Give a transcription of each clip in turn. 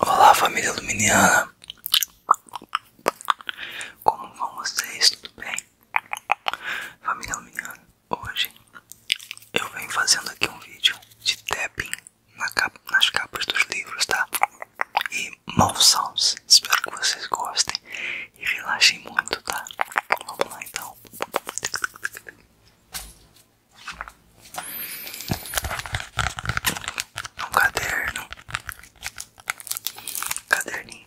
Olá família Luminiana Como vão vocês? Tudo bem? Família Luminiana, hoje eu venho fazendo aqui um vídeo de tapping nas capas dos livros, tá? E mouth sounds, espero que vocês gostem e relaxem muito, tá? Vamos lá então um caderno, caderninho, caderno,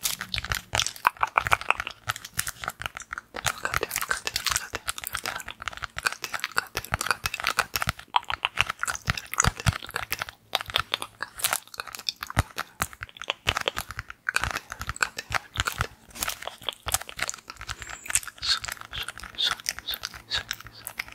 caderno, caderno, caderno, caderno, caderno, caderno, caderno, caderno, caderno. caderno caderno Cadê?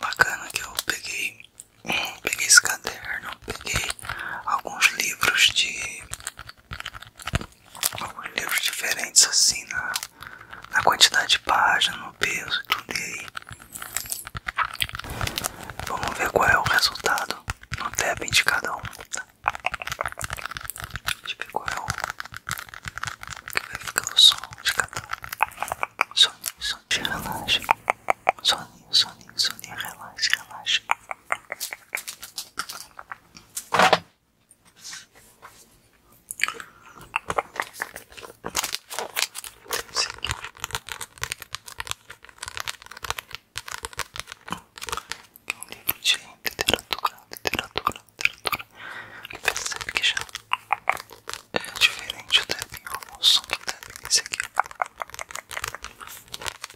Bacana que eu peguei, peguei esse caderno, peguei alguns livros de livros diferentes assim na, quantidade de páginas no peso e tudo e aí. Vamos ver qual é o resultado no tab de cada um. Tá? Deixa eu ver qual é o que vai ficar o som de cada um. Soninho, soninho, relaxa. Soninho, soninho, soninho, relaxa, relaxa um livro de literatura, literatura, literatura. E percebe que já é diferente o tapping, o som que tapping esse aqui.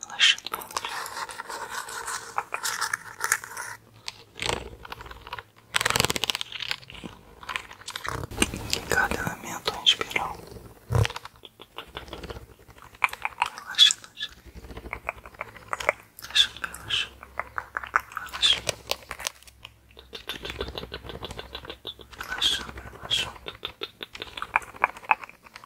relaxando em cada elemento a inspirar relaxando relaxando relaxando relaxando relaxando relaxando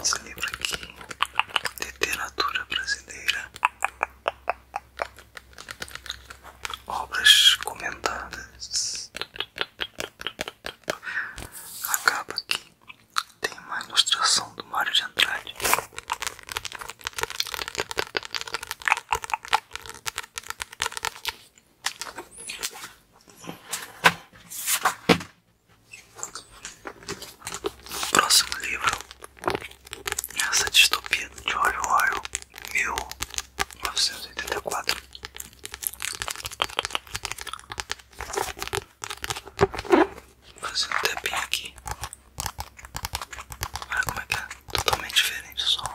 Esse livro aqui, Literatura Brasileira, Obras Comentadas. acaba capa aqui tem uma ilustração do Mário de Andrade. Próximo livro Essa distopia de oitenta e quatro Fazendo até bem aqui Olha como é que é totalmente diferente o som.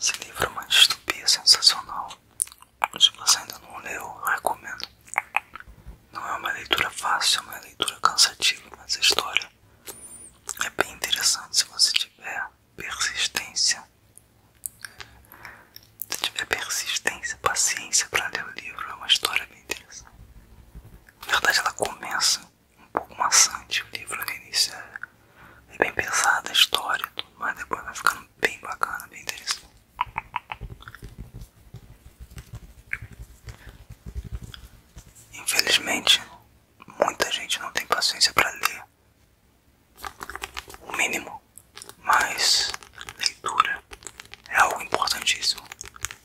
Esse livro é uma distopia sensacional. Se você ainda não leu, recomendo. Não é uma leitura fácil, é uma leitura cansativa, mas a história é bem interessante se você tiver persistência. Se tiver persistência, paciência para ler o livro, é uma história bem interessante. Na verdade, ela começa um pouco maçante o livro no início. É, é bem pesada a história, tudo mas depois vai ficando bem bacana, bem interessante. Infelizmente, muita gente não tem paciência para ler o mínimo, mas leitura é algo importantíssimo.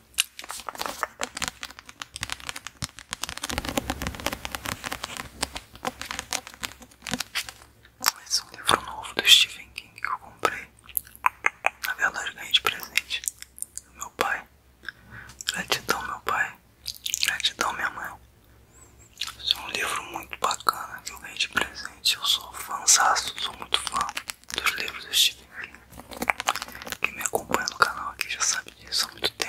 Esse assim é um livro novo do Stephen King que eu comprei. Na verdade, ganhei de presente do meu pai. Gratidão, meu pai. Gratidão, minha mãe. Esse é um livro muito bacana que eu ganhei de presente. Eu sou fãzaço, sou muito fã dos livros do Stephen King. me acompanha no canal aqui já sabe disso há muito tempo.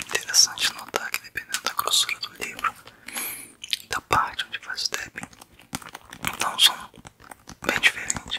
Interessante notar que dependendo da grossura do livro, da parte onde faz o tapping, dá um som bem diferente.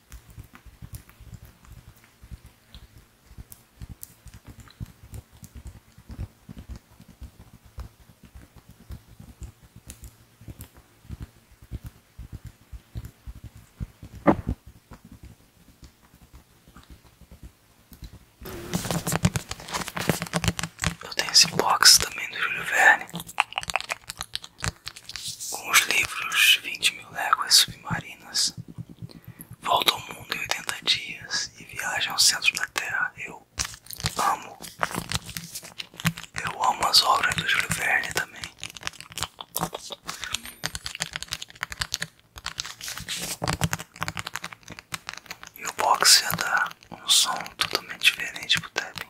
Eu tenho esse box também do Júlio Verne. Com os livros 20 mil léguas submarinas, volta ao mundo em 80 dias e viagem ao centro da Terra. Eu amo. Eu amo as obras do Júlio Verne também. E o boxe ia é dar um som totalmente diferente pro tapping.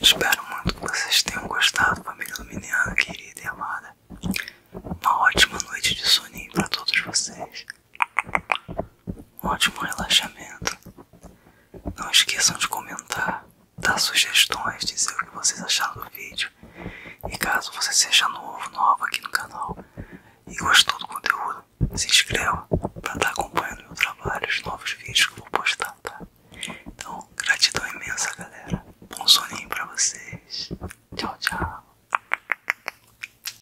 Espero muito que vocês tenham gostado, família Luminiana querida e amada. Uma ótima noite de soninho para todos vocês. Um ótimo relaxamento. Não esqueçam de comentar, dar sugestões, dizer o que vocês acharam do vídeo. E caso você seja novo, nova aqui no canal e gostou do conteúdo, se inscreva para estar tá acompanhando meu trabalho, os novos vídeos que eu vou postar, tá? Então, gratidão imensa, galera. Bom soninho para vocês. Tchau, tchau.